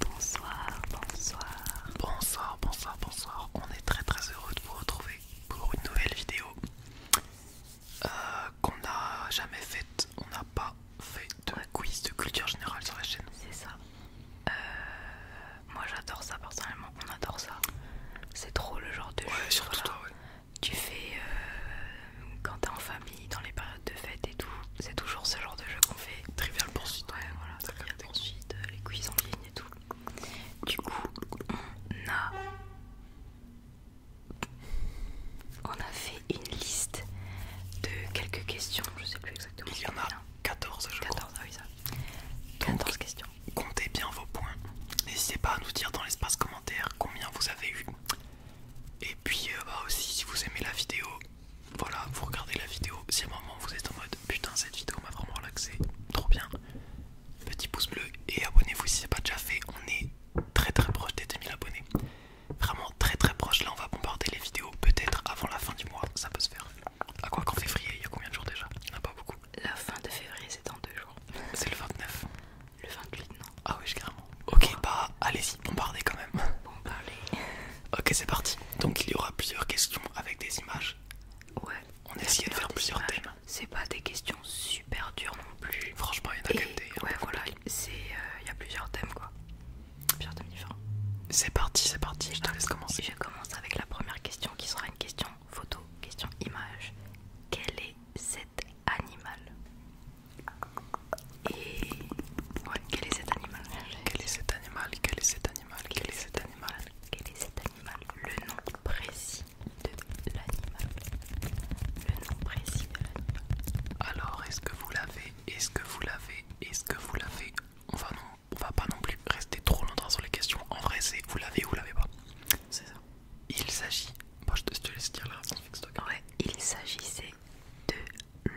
Bonsoir, bonsoir. Bonsoir, bonsoir, bonsoir. On est très très heureux de vous retrouver pour une nouvelle vidéo euh, qu'on n'a jamais faite. On n'a pas fait de quiz de culture générale sur la chaîne. C'est ça. Euh, moi j'adore ça personnellement. On adore ça. C'est trop le genre de ouais, Surtout ouais tu fais euh, quand t'es en famille, dans les périodes de fêtes et tout. C'est toujours ce genre de jeu qu'on fait. Trivial poursuite. Ouais, voilà, trivial poursuite, euh, les cuisines en ligne et tout. Du coup, on a. On a fait une liste de quelques questions, je sais plus exactement. Il y en a 14, hein. je 14, Ah oui, ça. 14 questions. Comptez bien vos points. N'hésitez pas à nous dire dans l'espace commentaire combien vous avez eu. Et puis euh, bah aussi si vous aimez la vidéo, voilà, vous regardez la vidéo, si à un moment vous êtes en mode putain cette vidéo m'a vraiment relaxé, trop bien, petit pouce bleu et abonnez-vous si c'est pas déjà fait, on est très très proche des 2000 abonnés. Vraiment très très proche, là on va bombarder les vidéos peut-être avant la fin du mois, ça peut se faire. À quoi qu'en février, il y a combien de jours déjà Il n'y en a pas beaucoup. La fin de février c'est dans deux jours. C'est le 29. Le 28, non Ah oui, carrément. Ok, bah allez-y, bombardez quand même. Bombardez. ok, c'est parti. Donc il y aura plusieurs questions avec des images. Ouais. On essayait de faire plusieurs thèmes. C'est pas des questions super dures non plus. Franchement, il y en a Ouais, voilà, c'est euh, il y a plusieurs thèmes quoi. Plusieurs thèmes différents. C'est parti, c'est parti. Je te laisse commencer. Je commence avec la première question qui sera une question photo, question image. Quel est cet animal et quel est cet animal Quel est cet animal Quel est cet animal Quel est cet animal Quel est cet animal Le nom précis de l'animal. Le nom précis de l'animal. Alors, est-ce que vous l'avez Est-ce que vous l'avez Est-ce que vous l'avez On non, on va pas non plus rester trop longtemps sur les questions. En vrai, c'est vous l'avez ou vous l'avez pas. C'est ça. Il s'agit. moi je te, le laisse dire la il s'agissait de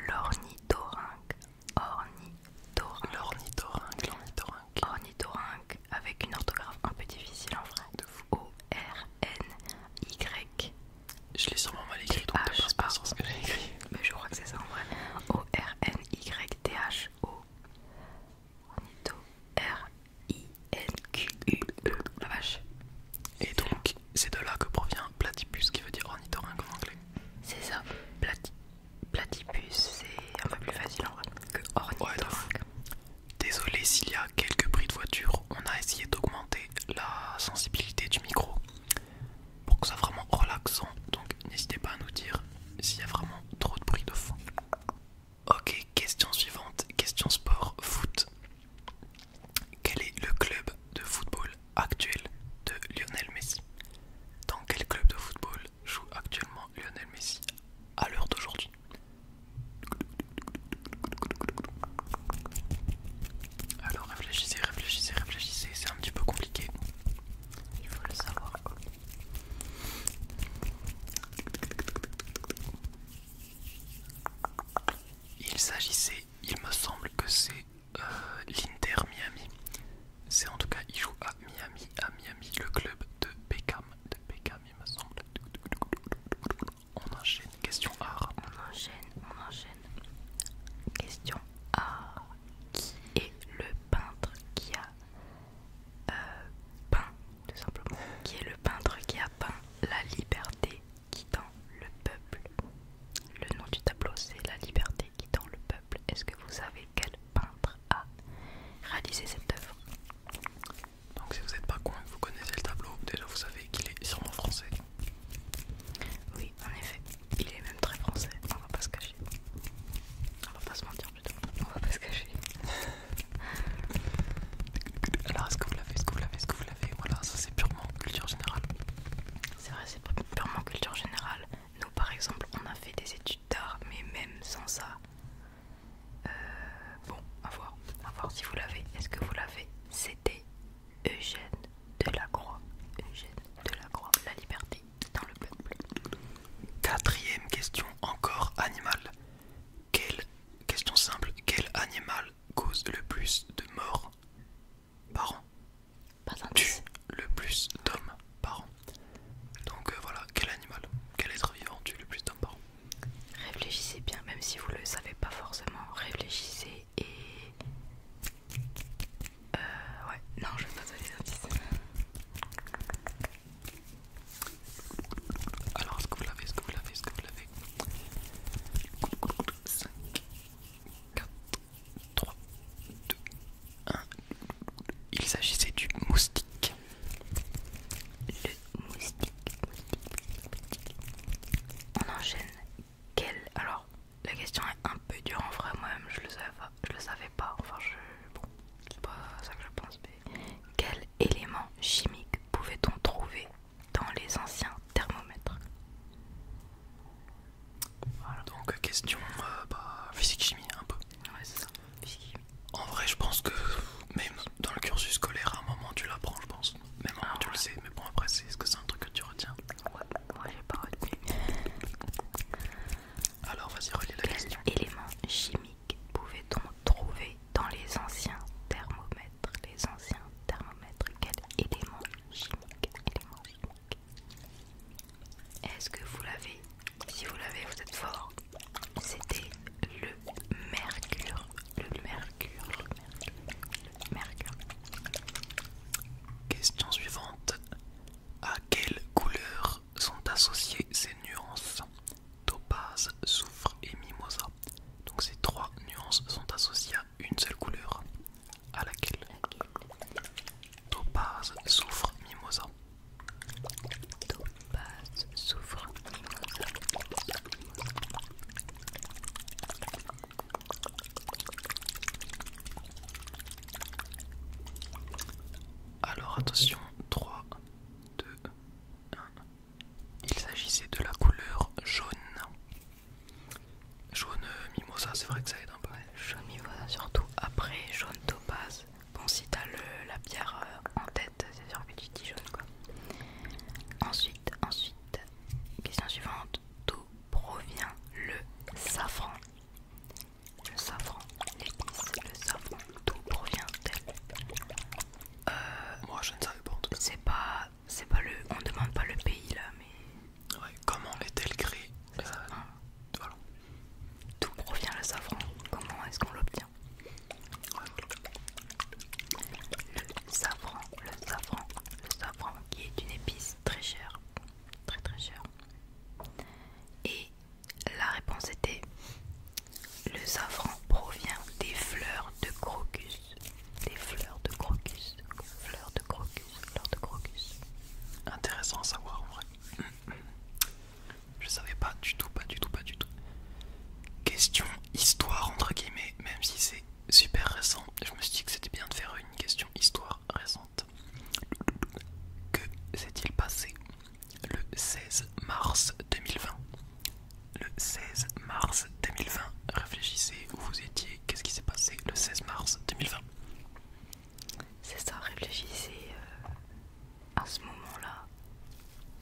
l'ornithorynque. Ornithorynque. L'ornithorynque, l'ornithorynque. Ornithorynque avec une orthographe un peu difficile en vrai. O-R-N-Y. Je l'ai sûrement mal écrit, donc sais pas ce que j'ai écrit. Mais je crois que c'est ça en vrai. O-R-N-Y-T-H-O. E. La vache. Et donc, c'est de là que provient platypus qui veut dire ornithorynque en anglais. C'est ça. platypus, c'est un peu plus facile en vrai que ornithorynque. Désolé s'il y a quelques bruits de voiture, on a essayé d'augmenter la sensibilité du micro pour que ça soit vraiment relaxant. Donc n'hésitez pas à nous dire s'il y a vraiment trop de bruit de fond. Ok, question suivante, question sport, foot. Quel est le club de football actuel de Lionel Messi Dans quel club de football joue actuellement Lionel Messi à l'heure d'aujourd'hui Alors réfléchissez, réfléchissez, réfléchissez, c'est un petit peu compliqué. Il faut le savoir. Il s'agissait, il me semble que c'est euh, l'Inter Miami. C'est en tout cas, il joue à Miami, à Miami, le club de Beckham, de Beckham, il me semble. On enchaîne. Question A. On enchaîne, on enchaîne. Question A. Qui est le peintre qui a euh, peint, tout simplement Qui est le peintre qui a peint la liberté tend le peuple. Le nom du tableau, c'est La liberté tend le peuple. Est-ce que vous savez quel peintre a réalisé cette œuvre Donc, si vous n'êtes pas coin vous connaissez le tableau, déjà vous savez qu'il est sûrement français. Oui, en effet, il est même très français, on va pas se cacher. On va pas se mentir plutôt, on va pas se cacher. Alors est-ce que vous l'avez, est-ce que vous l'avez, est-ce que vous l'avez Voilà, ça c'est purement culture générale. C'est vrai, c'est purement culture générale. Nous par exemple, on a fait des études d'art, mais même sans ça. Euh, bon, à voir, voir si vous l'avez. Est-ce que vous l'avez C'était Eugène Delacroix. Eugène Delacroix, la liberté dans le peuple. Quatrième question, encore animal. Quelle, question simple, quel animal cause le plus de morts par an Pas Tue le plus d'hommes par an. Donc euh, voilà, quel animal, quel être vivant tue le plus d'hommes par an Réfléchissez bien, même si vous le savez pas forcément, réfléchissez et... Euh, ouais, non, je vais pas donner indices. Alors, est-ce que vous l'avez Est-ce que vous l'avez Est-ce que vous l'avez 5, 4, 3, 2, 1. Il s'agissait du moustique. Le moustique. On enchaîne. Quel... Alors, la question est un peu dure en vrai, moi-même je le je le savais pas. Enfin, je... Bon, c'est pas ça que je pense, mais quel élément chimiques pouvait-on trouver dans les anciens thermomètres voilà. Donc question euh, bah, physique-chimie un peu. Ouais c'est ça, En vrai je pense que même dans le cursus scolaire à un moment tu l'apprends je pense. Même tu le ah sais, mais bon après c'est est-ce que c'est un truc que tu retiens Ouais, moi j'ai pas retenu. Alors vas-y relis la question. Élément chimique pouvait-on trouver dans les anciens thermomètres Les anciens thermomètres, quel élément chimique, Est-ce que vous l'avez Si vous l'avez, vous êtes fort. C'était le mercure, le mercure, le mercure, Question suivante. À quelle couleur sont associées ces nuances Topaz, soufre et mimosa. Donc ces trois nuances sont associées à une seule couleur, à laquelle Topaz, Souffre, mimosa. Topaz, souffre mimosa. Alors attention, 3, 2, 1. Il s'agissait de la couleur jaune. Jaune euh, mimosa, c'est vrai que ça aide un peu. jaune mimosa surtout. Après, jaune topaz. Bon, si t'as la pierre euh, en tête, c'est sûr que tu dis jaune quoi. Ensuite, ensuite, question suivante. D'où provient le safran Le safran, l'épice, le safran, d'où provient-elle euh, Moi je ne savais pas C'est pas, c'est pas le, on demande pas le pays là, mais. comment est-elle créée euh, D'où provient le safran Comment est-ce qu'on l'obtient Le safran, le safran, le safran qui est une épice très chère, très très chère. Et la réponse était le safran provient des fleurs de crocus. Des fleurs de crocus. Fleurs de crocus. Fleurs de crocus. Intéressant à savoir en vrai. Je savais pas du tout, pas du tout, pas du tout. Question histoire entre guillemets, même si c'est super récent. Je me suis dit que c'était bien de faire une question histoire récente. Que s'est-il passé le 16 mars 2020. Le 16 mars 2020, réfléchissez où vous étiez, qu'est-ce qui s'est passé le 16 mars 2020 C'est ça, réfléchissez euh, à ce moment-là,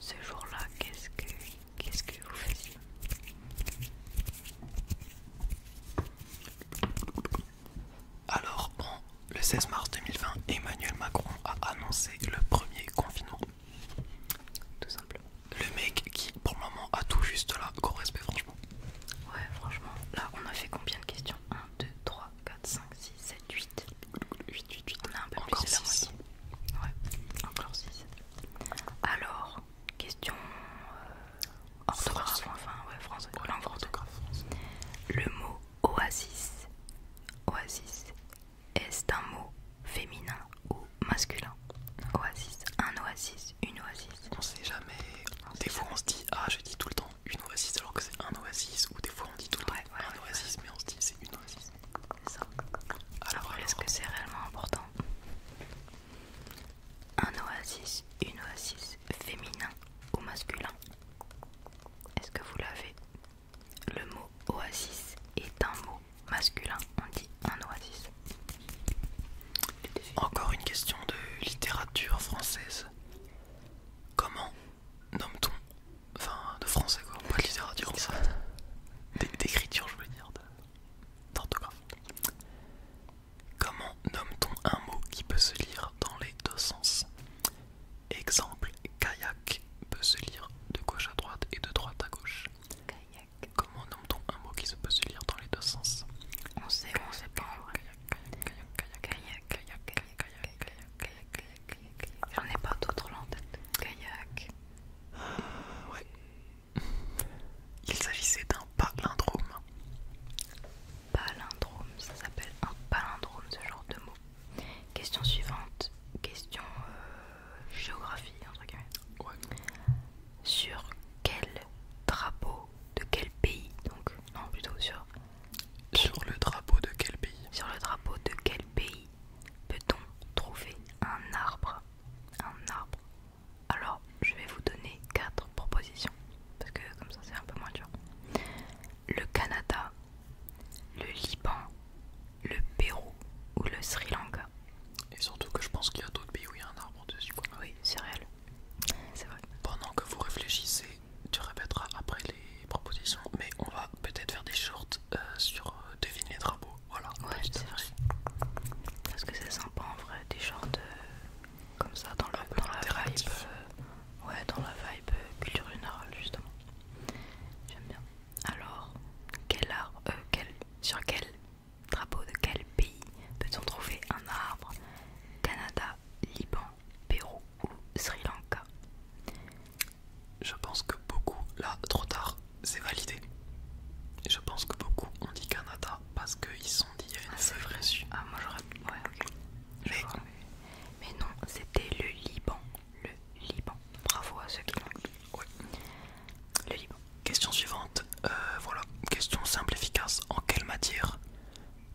ce jour-là, qu'est-ce que, qu'est-ce que vous faisiez alors, le 16 mars 2020, Emmanuel Macron a annoncé le premier confinement. Tout simplement. Le mec qui, pour le moment, a tout juste là. Gros respect, franchement. Ouais, franchement. Là, on a fait combien de questions 1, 2, 3, 4, 5, 6, 7, 8. 8, 8, 8. On a un peu plus de Ouais, encore 6. Alors, question euh, orthographe, enfin, ouais, français. Ouais, orthographe. Le mot oasis. Oasis est ce un mot féminin ou masculin Oasis, un oasis, une oasis. On sait jamais. des fois on se dit ah je dis tout le temps une oasis alors que c'est un oasis ou des fois on dit tout le temps un oasis mais on se dit c'est une oasis. C'est ça. alors est-ce que c'est réellement important Un oasis, une oasis féminin ou masculin Est-ce que vous l'avez le mot oasis est un mot masculin, on dit un oasis. Encore une question de littérature française. Comment nomme-t-on. Enfin, de français quoi, pas de littérature française. D'écriture, je veux dire, d'orthographe. Comment nomme-t-on un mot qui peut se lire dans les deux sens Exemple, kayak peut se lire de gauche à droite et de droite à gauche. Comment nomme-t-on un mot qui se peut se lire dans les deux sens On sait, on sait pas. Kayak, kayak, kayak, kayak, kayak, kayak, kayak, J'en ai pas d'autres en tête. Kayak. ouais. Il s'agissait d'un palindrome. Palindrome, ça s'appelle un palindrome, ce genre de mot. Question suivante. Question euh, géographie, Sur quel drapeau de quel pays Donc, non, Sur le drapeau de quel pays Sur le drapeau de quel pays peut-on trouver un arbre Un arbre. Alors, je vais vous donner quatre propositions. Parce que comme ça, c'est un peu moins dur. Le Canada, le Liban, le Pérou ou le Sri Lanka. Et surtout que je pense qu'il y a d'autres pays où il y a un arbre dessus. Quoi. Oui, c'est réel. C'est vrai. Pendant que vous réfléchissez, tu répèteras après les propositions, mais on va peut-être faire des shorts euh, sur deviner euh, devine les Voilà. Ouais, te vrai. Parce que c'est sympa en vrai, des shorts euh, comme ça dans, la vibe. ouais, dans la vibe culture générale justement. J'aime bien. Alors, quel arbre, euh, quel, sur quel drapeau de quel pays peut-on trouver un arbre Canada, Liban, Pérou ou Sri Lanka Je pense que beaucoup, là, trop tard, c'est validé. Je pense que beaucoup ont dit Canada parce qu'ils sont dit y une ah, c'est vrai. Ah, moi j'aurais. Ouais, ok. mais non, c'était le Liban le Liban. Bravo à ceux qui l'ont. Le Liban. Question suivante. Euh, voilà, question simple, efficace. En quelle matière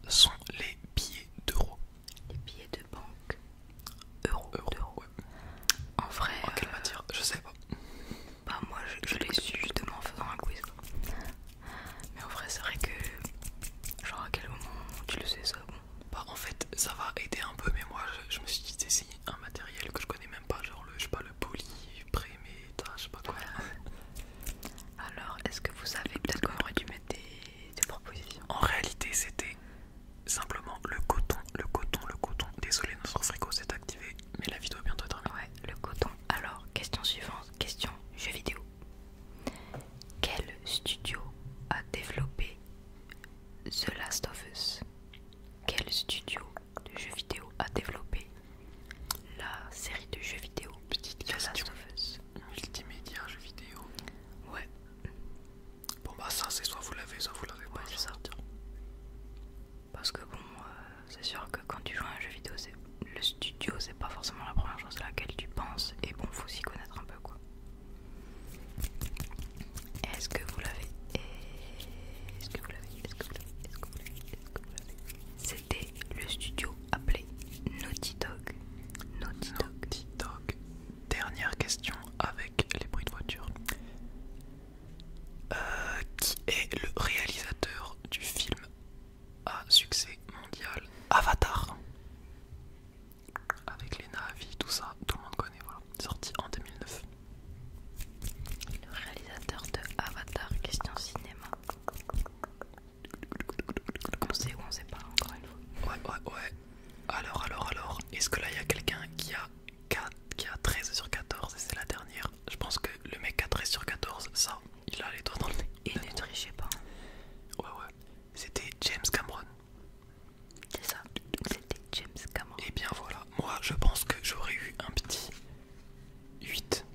sont les billets d'euros Les billets de banque. Euros. Euro, En vrai. En quelle euh, matière Je sais pas. Bah moi je, je l'ai su justement en faisant un quiz. Mais en vrai c'est vrai que genre à quel moment tu le sais ça bah, en fait ça va aider un peu mais moi je, me suis dit d'essayer un matériel que je connais même pas genre le je sais pas le poly je sais pas quoi. Alors est-ce que vous savez peut-être qu'on aurait dû mettre des, des propositions En réalité c'était simplement le coton, le coton, le coton. Désolé notre frigo s'est activé mais la vidéo est bientôt terminée. Ouais le coton. Alors question suivante, question jeu vidéo. Quel studio a développé The Last of Us Quel studio de jeux vidéo a développé la série de jeux vidéo The Last of Us Multimédia, jeux vidéo Ouais. Bon bah ça c'est soit vous l'avez, soit vous l'avez pas pas. Ça. Parce que bon, euh, c'est sûr que quand tu joues à un jeu vidéo, le studio c'est pas forcément la première chose à laquelle tu penses et bon faut s'y connaître un peu quoi. Est-ce que vous l'avez Est-ce que vous l'avez Est-ce que vous l'avez Est-ce que C'était le studio appelé Naughty Dog. Naughty, Naughty Dog. Dernière question avec les bruits de voiture. Euh, qui est le réalisateur du film à succès mondial Avatar avec les Navi, tout ça, tout le monde connaît, voilà, sorti en 2009. Le réalisateur de Avatar, question cinéma. On sait ou on sait pas, encore une fois. Ouais, ouais, ouais. Alors, alors, alors, est-ce que là il y a quelqu'un qui a, 4, a 13 sur 14 et c'est la dernière Je pense que le mec a 13 sur 14, ça, il a les doigts dans le nez. Et ne trichez pas. Ouais, ouais. C'était James Cameron. C'est ça, c'était James Cameron. Et eh bien voilà, moi je pense que j'aurais eu un petit 8.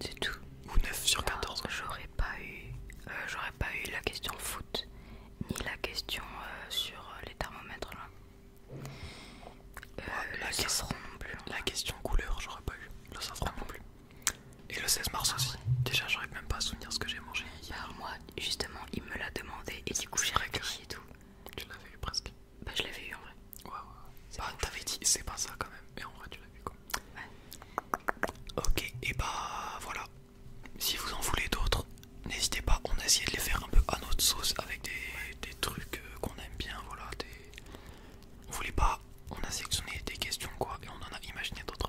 C'est tout. Ou 9 sur 14. J'aurais pas eu euh, j'aurais pas eu la question foot, ni la question euh, sur euh, les thermomètres là. la, question, non plus, la question couleur, j'aurais pas eu. la ah non plus. Et le 16 mars ah aussi. Déjà, j'arrive même pas à souvenir ce que j'ai mangé. Hier bah, moi, justement, il me l'a demandé et du coup, j'ai réfléchi et tout. Tu l'avais eu presque Bah, je l'avais eu en vrai. Ouais, ouais. Bah, t'avais dit, c'est pas ça quand même. Mais en vrai, tu l'as vu quoi. Ok, et bah voilà. Si vous en voulez d'autres, n'hésitez pas. On a essayé de les faire un peu à notre sauce avec des, trucs euh, qu'on aime bien. Voilà, on voulait pas. On a sélectionné des questions quoi et on en a imaginé d'autres.